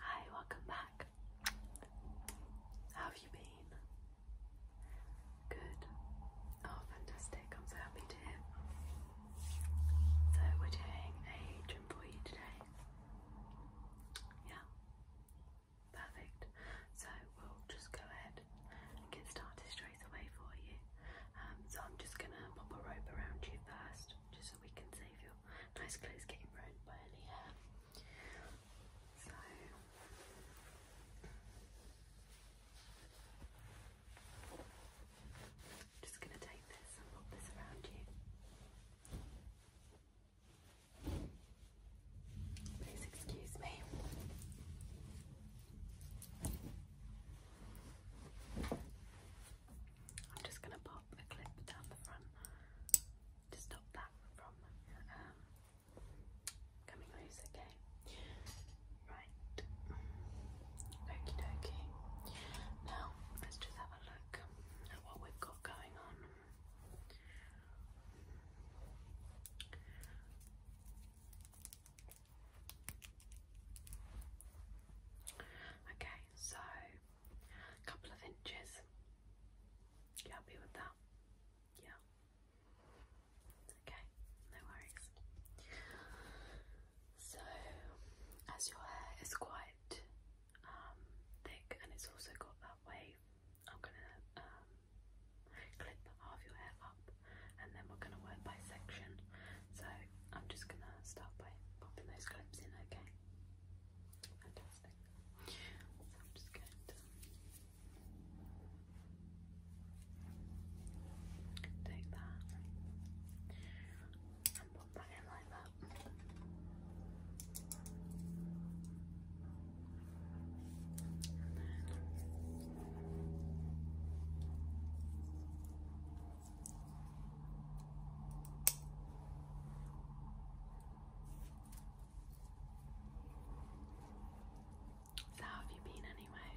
Hi, welcome back. How have you been? Good. Oh, fantastic. I'm so happy to hear. So, we're doing a gym for you today. Yeah. Perfect. So, we'll just go ahead and get started straight away for you. Um, so, I'm just going to pop a rope around you first, just so we can save your nice clothes getting ruined by any hair. So just going to take this and pop this around you. Please excuse me. I'm just going to pop got a clip down the front to stop that from um, coming loose, okay? Right. Okie dokie. Now, let's just have a look at what we've got going on. Okay, so a couple of inches. happy with that? Yeah. Okay, no worries. So, as your hair is quite um, thick and it's also got that wave, I'm gonna um, clip half your hair up and then we're gonna work by section. So, I'm just gonna start by popping those clips in, Okay. Fantastic. So I'm just going to take that and pop that in like that. So, how have you been anyway?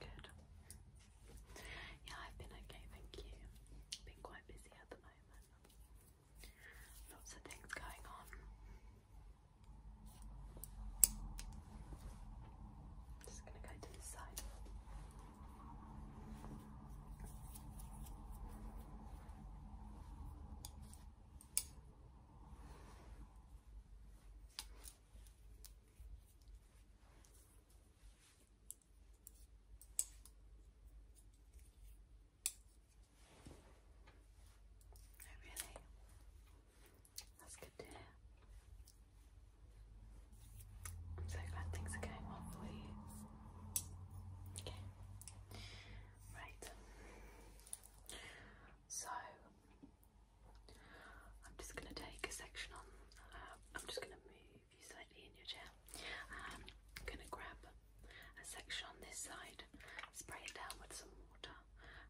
Good. Yeah, I've been okay, thank you. Been quite busy at the moment. Lots of things going on. Just gonna go to the side. I really that's good to hear. I'm so glad things are going well for you. Okay. Right. So I'm just going to take a section on. Um, I'm just going to move you slightly in your chair. Um, I'm going to grab a section on this side, spray it down with some water,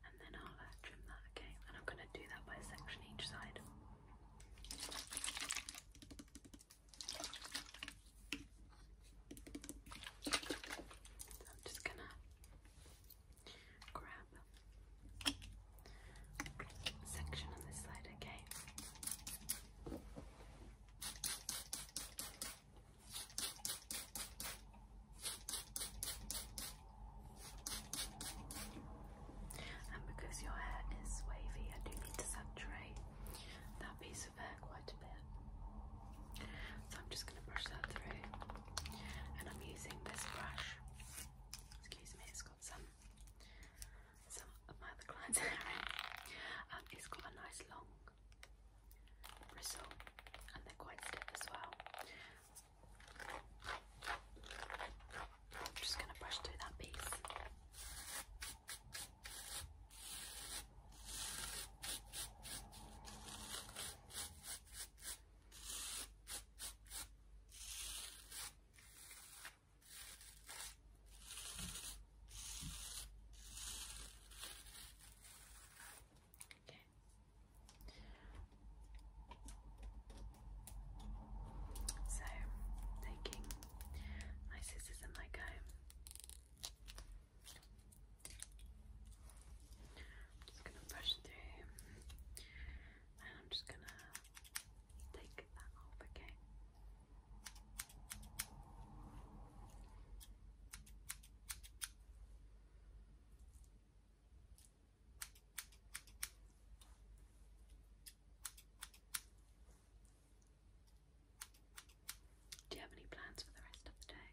and then I'll uh, trim that. Okay. And I'm going to do that by a section each side. I'm just gonna grab section on this side, okay? And because your hair is wavy, I do need to saturate that piece of hair quite a bit. So I'm just going to brush that through. And I'm using this brush. Excuse me, it's got some some of my clients' hair um, it's got a nice long bristle and they're quite stiff as well. I'm just going to brush through that piece. Okay. So, taking my scissors and my comb, I'm just going to brush through and I'm just going to take that off, okay? Do you have any plans for the rest of the day?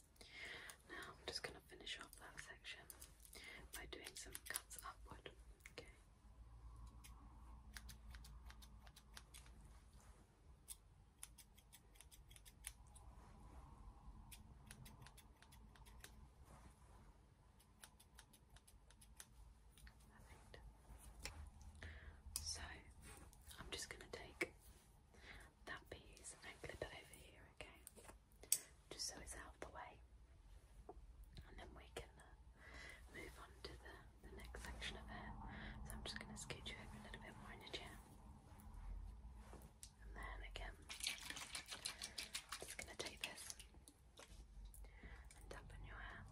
Now I'm just going to finish off that section by doing some cuts upward. Okay. So I'm just going to take that piece and clip it over here, okay? Just so it's out of the way. And then we can uh, move on to the, next section of hair. So I'm just going to scoot you over a little bit more in the chair. And then again, just going to take this and tap your hair.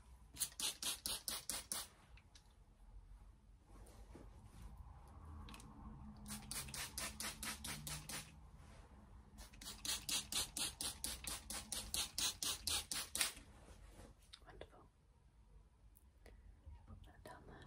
Wonderful. Put that down there.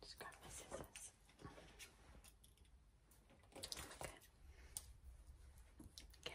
Just grab my scissors. Okay. Okay.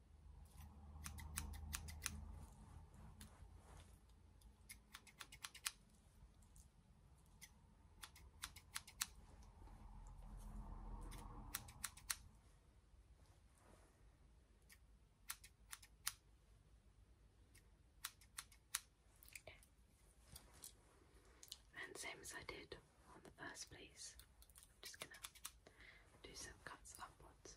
And same as I did on the first place, I'm just gonna do some cuts upwards.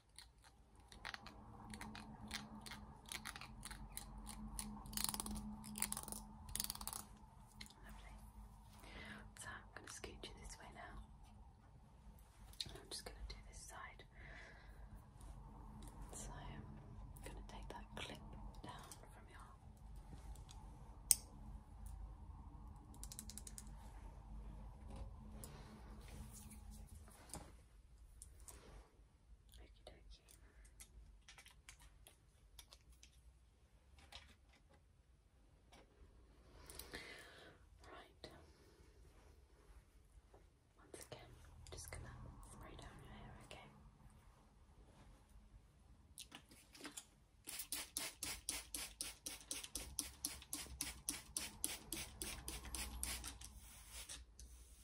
So I'm going to scoot you this way now. I'm just going to do this side. So I'm going to take that clip down from your Okie dokie. Right. Once again, just gonna spray down your hair, Okay.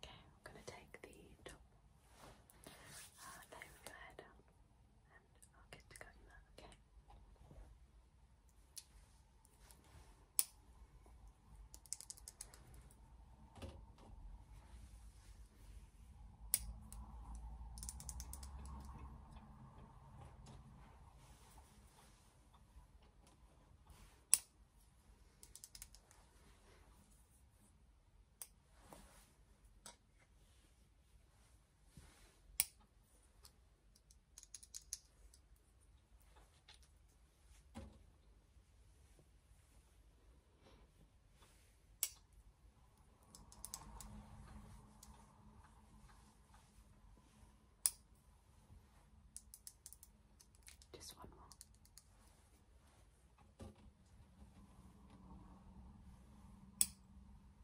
Okay, I'm going to take the top uh, your hair down and I'll get to cutting that, Okay. Just one more.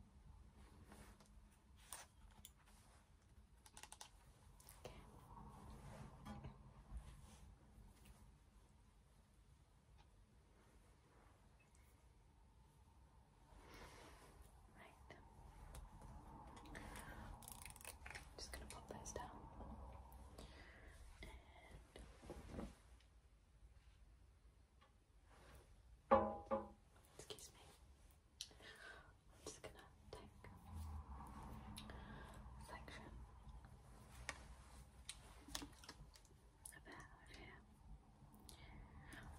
Right. i just going to pop those down. Excuse me. I'm just gonna take a section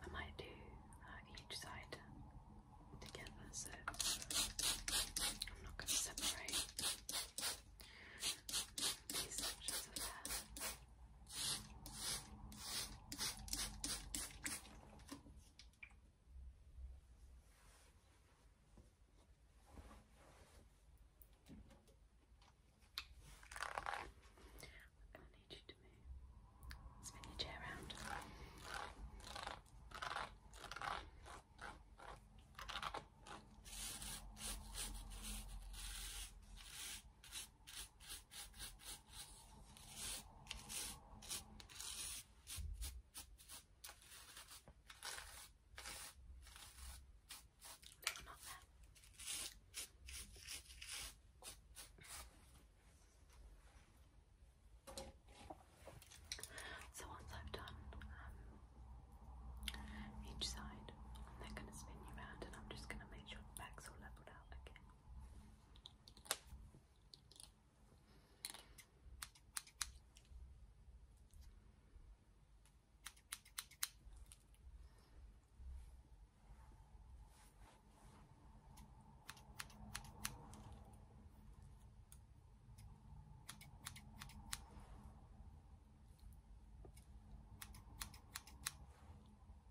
I might do uh, each side together, so I'm not gonna separate these sections of hair. i need you to move. Spin your chair around. No, So once I've done um, each side, I'm then going to spin you round and I'm just going to make sure Back's all leveled again.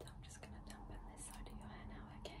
Now just to this side. So I'm just going to dump in this side of your hair now, okay?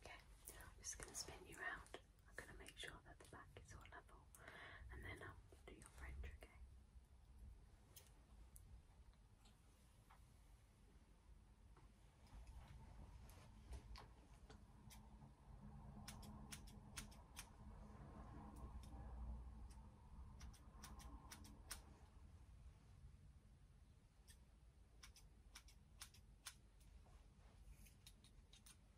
Okay, just going to spin you around. I'm going to make sure that the back is all level and then I'll do your French, Okay,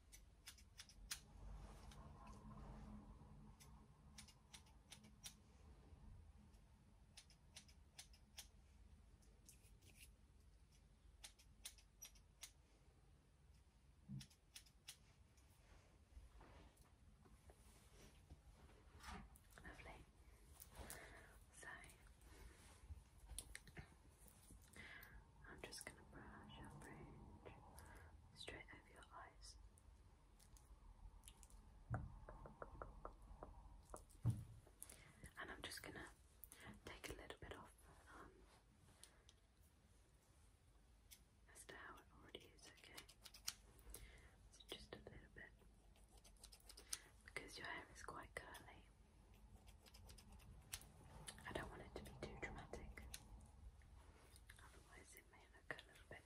Lovely. So I'm just going to brush your brain straight over your eyes. And I'm just going to take a little bit off um, as to how it already is, okay? just a little bit because your hair is quite curly. I don't want it to be too dramatic otherwise it may look a little bit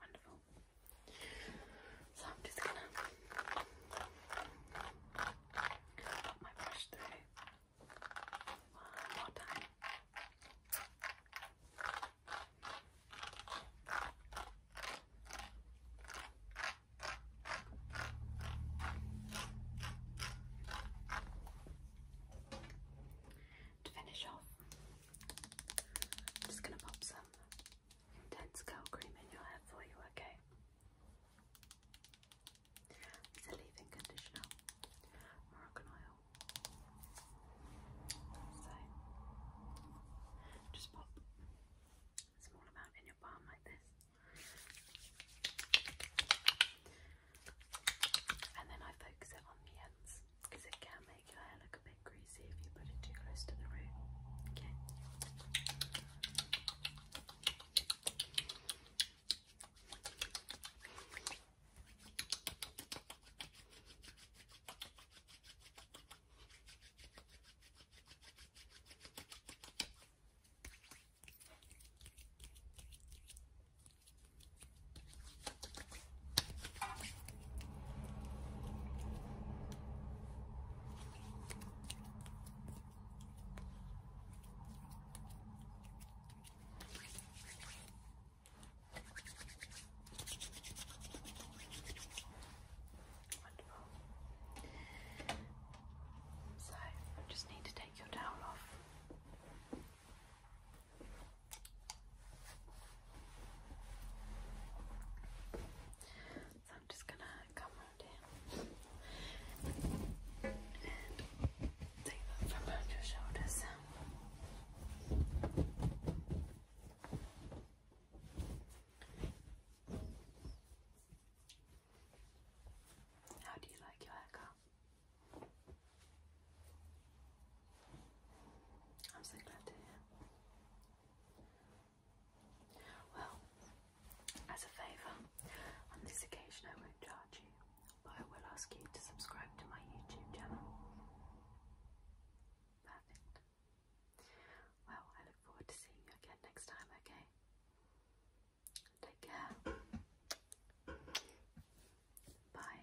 Wonderful. So I'm just gonna put my brush through one more time. To finish off, I'm just going to pop some intense curl cream in your hair for you, okay? leave-in conditioner, Moroccan oil. So, just pop a small amount in your palm like this. And then I focus it on the ends because it can make your hair look a bit greasy if you put it too close to the root. Wonderful. So, just need to take your towel off. So I'm just gonna come around here and take that from around your shoulders. How do you like your haircut? I'm so glad to hear. Well, as a favour, on this occasion I won't charge you, but I will ask you to subscribe to my YouTube channel. Perfect. Well, I look forward to seeing you again next time, okay? Take care. Bye.